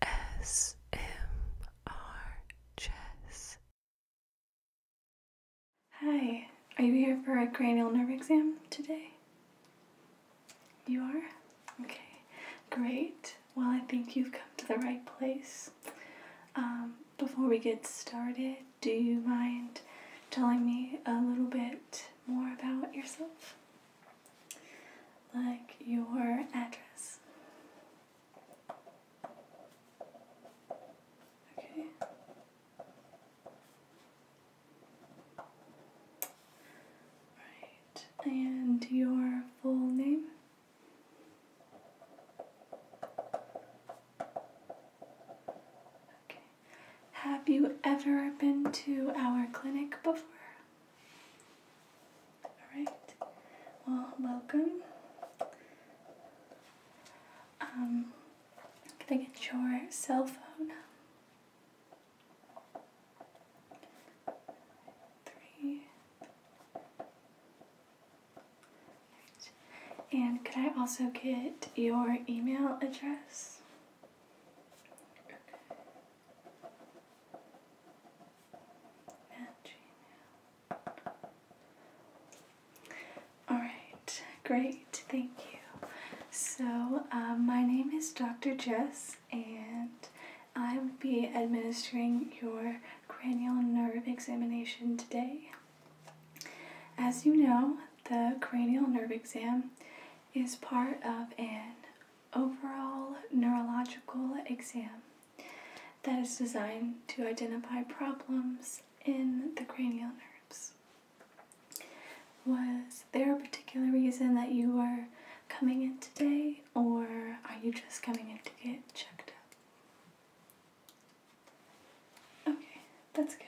ASMR Chess. Hi, are you here for a cranial nerve exam today? You are? Okay, great. Well, I think you've come to the right place. Um, before we get started, do you mind telling me a little bit more about yourself? like your address. Okay. Right. And your full name? Okay. Have you ever been to our clinic before? Alright, well, welcome. Um, can I get your cell phone? Three. And could I also get your email address? Alright, great, thank you. So, um, my name is Dr. Jess, and I will be administering your cranial nerve examination today. As you know, the cranial nerve exam is part of an overall neurological exam that is designed to identify problems in the cranial nerves. Was there a particular reason that you were coming in today, or are you just coming in to get checked up? Okay, that's good.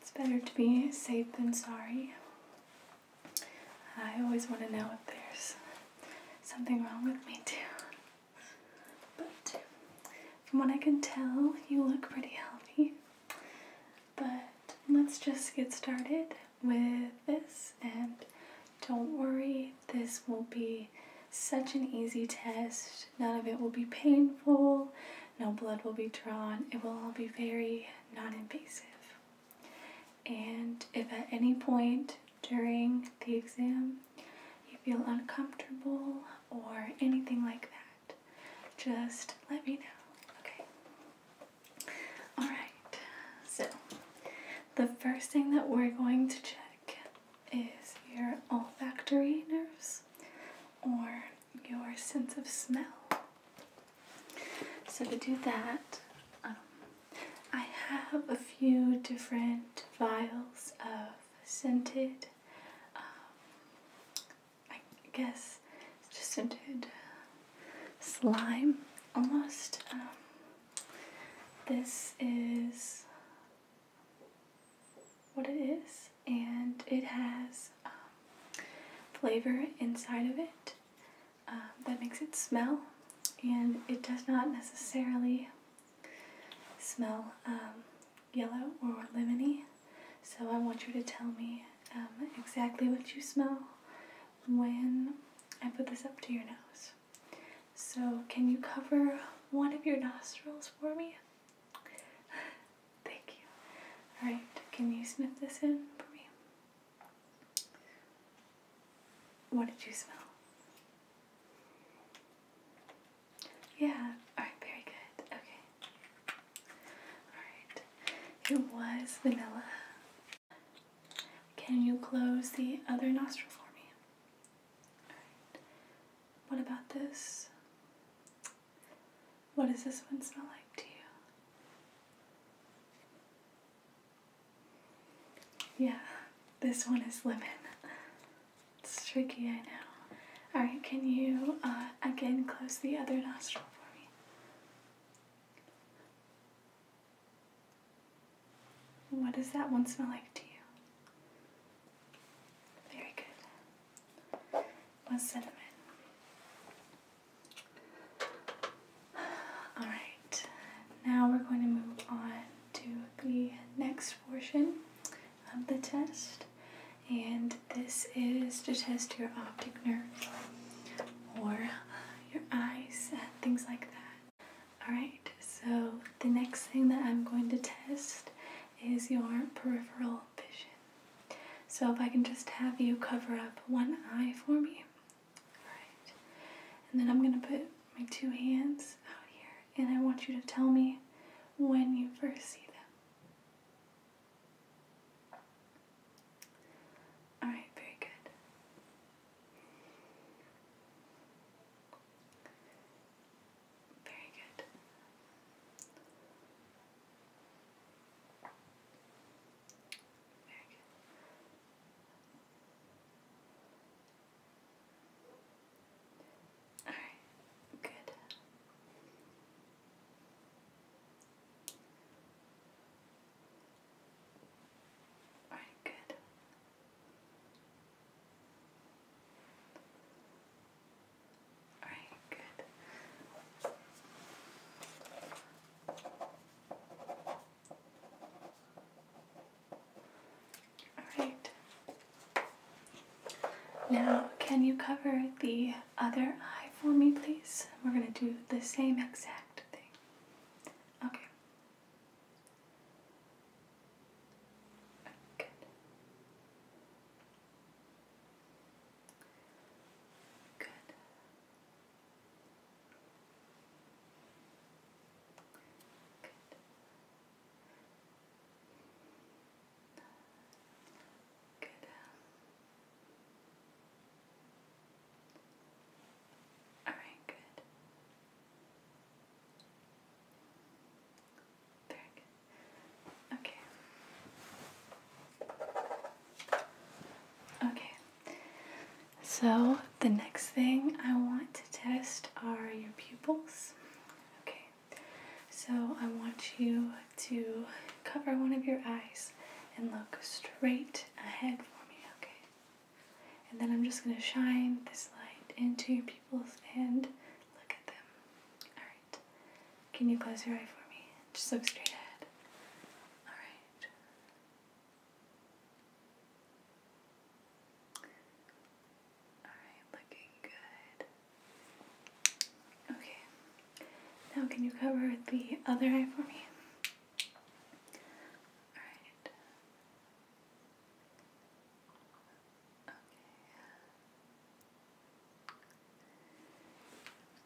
It's better to be safe than sorry. I always want to know if there's something wrong with me, too. But from what I can tell, you look pretty healthy. But let's just get started with this, and don't worry, this will be such an easy test. None of it will be painful. No blood will be drawn. It will all be very non invasive. And if at any point during the exam you feel uncomfortable or anything like that, just let me know, okay? Alright, so the first thing that we're going to check is your olfactory nerves or your sense of smell. So, to do that, um, I have a few different vials of scented, um, I guess, just scented uh, slime almost. Um, this is what it is, and it has um, flavor inside of it um, that makes it smell, and it does not necessarily smell um, yellow or lemony. So I want you to tell me exactly what you smell when I put this up to your nose. So, can you cover one of your nostrils for me? Thank you. Alright, can you sniff this in for me? What did you smell? Yeah, alright, very good. Okay. Alright, it was vanilla. Can you close the other nostril for me? Alright. What about this? What does this one smell like to you? Yeah, this one is lemon. It's tricky, I know. Alright, can you uh, again close the other nostril for me? What does that one smell like to you? Very good. One cinnamon. Alright, now we're going to move on to the next portion of the test, and this is to test your optic nerve or your eyes and things like that. Alright, so the next thing that I'm going to test is your peripheral vision. So if I can just have you cover up one eye for me. Alright. And then I'm going to put my two hands out here and I want you to tell me when you first see them. Alright, very good. Very good. Very good. All right, good. All right, good. Alright, good. Alright. Now, can you cover the other eye for me, please? We're going to do the same exact thing. Okay. Good. Good. Good. Good. All right, good. Very good. Okay. Okay. So the next thing I want to test are your pupils. Okay. So I want you to cover one of your eyes and look straight ahead for me, okay? And then I'm just going to shine this light into your pupils and look at them. Alright. Can you close your eye for me? Just look straight ahead. Alright. Alright, looking good. Okay. Now can you cover the other eye for me? Alright.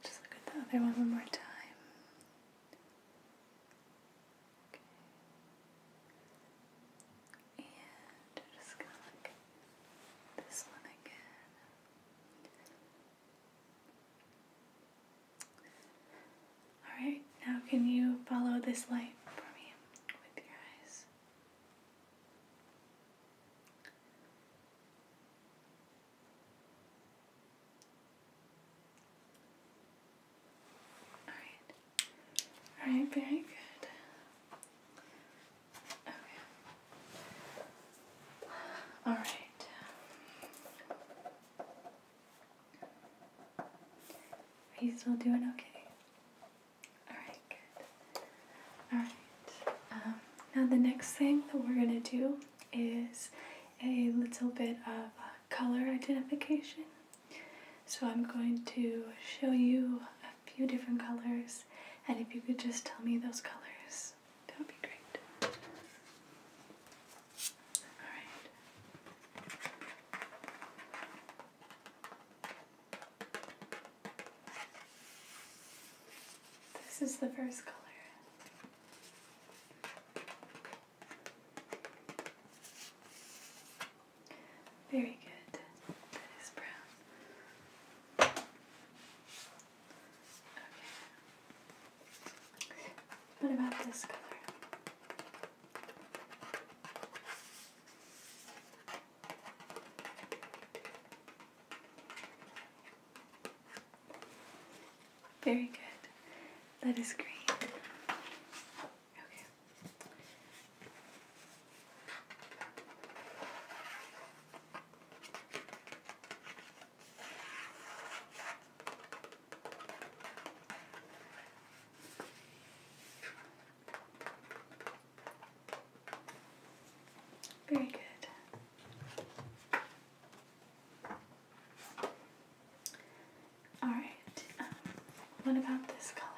Just look at the other one one more time. Okay. And just look at this one again. Alright, now can you follow this light for me with your eyes? All right. All right, very good. Okay. All right. Are you still doing okay? Alright, Alright, um, now the next thing that we're going to do is a little bit of color identification. So I'm going to show you a few different colors, and if you could just tell me those colors, that would be great. Alright. This is the first color. Very good. That is brown. Okay. What about this color? Very good. That is great. Okay. Very good. All right. Um, what about this color?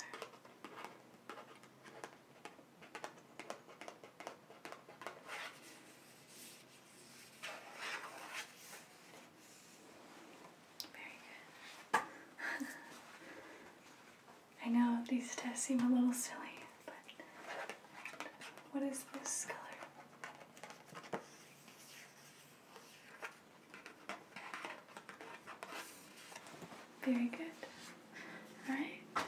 Very good. I know these tests seem a little silly, but what is this color? Very good. All right.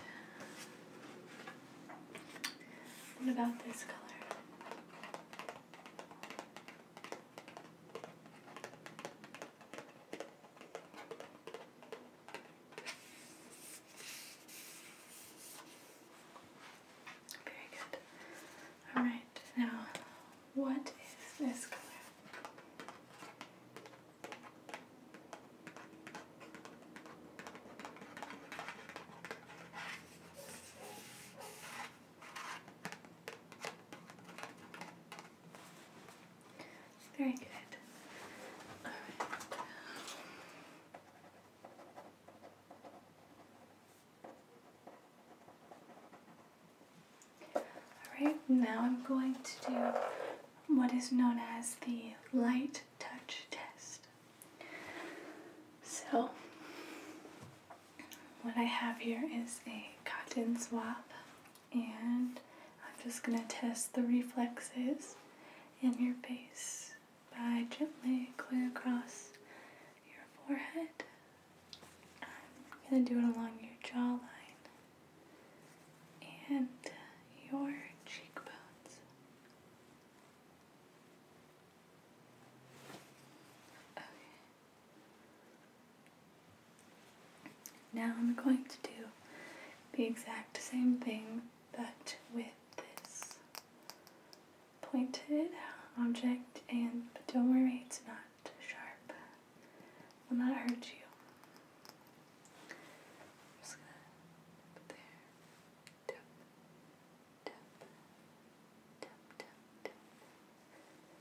What about this color? Very good. All right, now what is this color? It's Very good. Alright, now I'm going to do what is known as the light touch test. So, what I have here is a cotton swab, and I'm just going to test the reflexes in your face by gently going across your forehead. I'm going to do it along your jawline and your cheekbones. Okay. Now I'm going to do the exact same thing but with this pointed object and don't worry it's not sharp. It will not hurt you. I'm just gonna put there. Dump, dump, dump, dump, dump.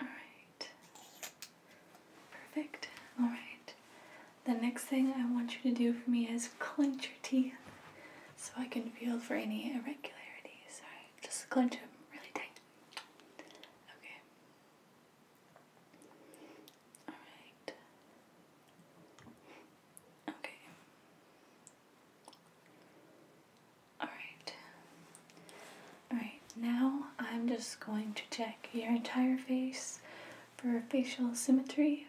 All right. Perfect. All right. The next thing I want you to do for me is clench your teeth so I can feel for any irregularities. All right. Just clench them really tight. Okay. Alright. Okay. Alright. Alright, now I'm just going to check your entire face for facial symmetry.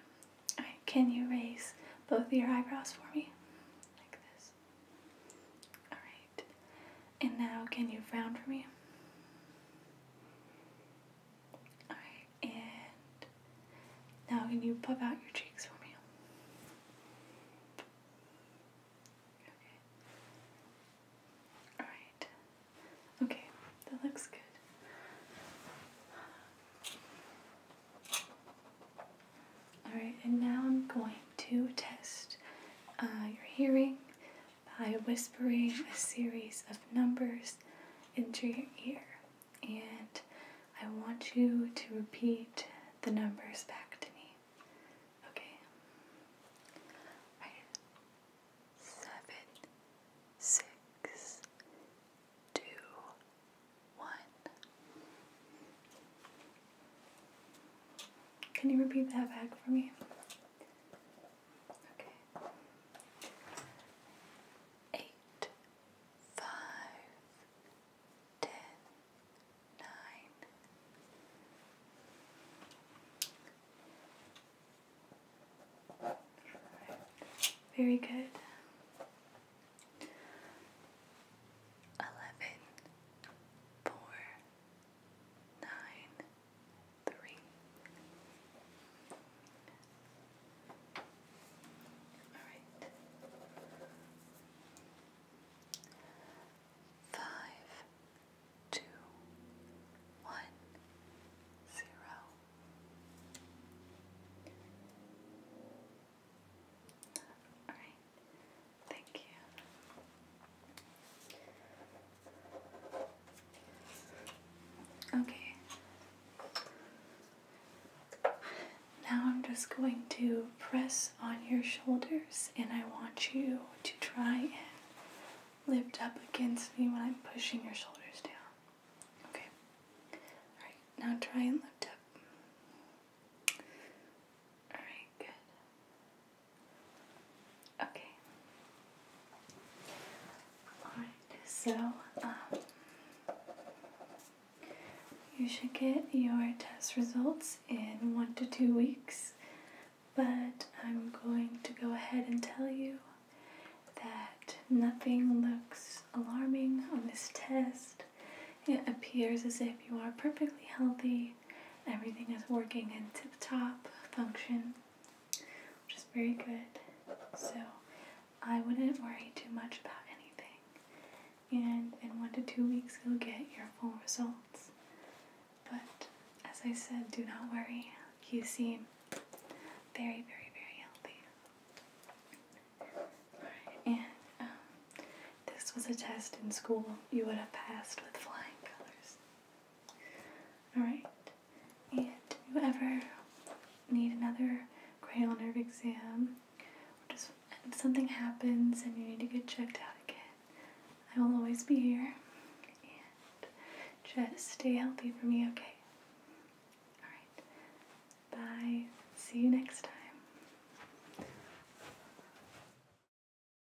Alright, can you raise both of your eyebrows for me? Like this. Alright. And now can you frown for me? Alright, and now can you pop out your cheeks for me? Okay. Alright. Okay, that looks good. Alright, and now I'm going to test uh, your hearing by whispering a series of numbers into your ear. And I want you to repeat the numbers back to me. Okay? Right. Seven, six, two, one. Can you repeat that back for me? Eight, five, ten, nine. Very good. Eleven, four, nine three. All right. Five, two, one, zero. All right. Thank you. Okay. Now I'm just going to press on your shoulders, and I want you to try and lift up against me when I'm pushing your shoulders down. Okay. Alright, now try and lift up. Alright, good. Okay. Alright, so um, you should get your test results in one to two weeks, but I'm going to go ahead and tell you that nothing looks alarming on this test. It appears as if you are perfectly healthy Everything is working in tip-top function, which is very good. So I wouldn't worry too much about anything. And in one to two weeks, you'll get your full results. But as I said, do not worry. You seem very, very, very healthy. and um, this was a test in school. You would have passed with flying colors. Alright, and if you ever need another cranial nerve exam, just if something happens and you need to get checked out again, I will always be here. And just stay healthy for me, okay? Alright, bye. See you next time.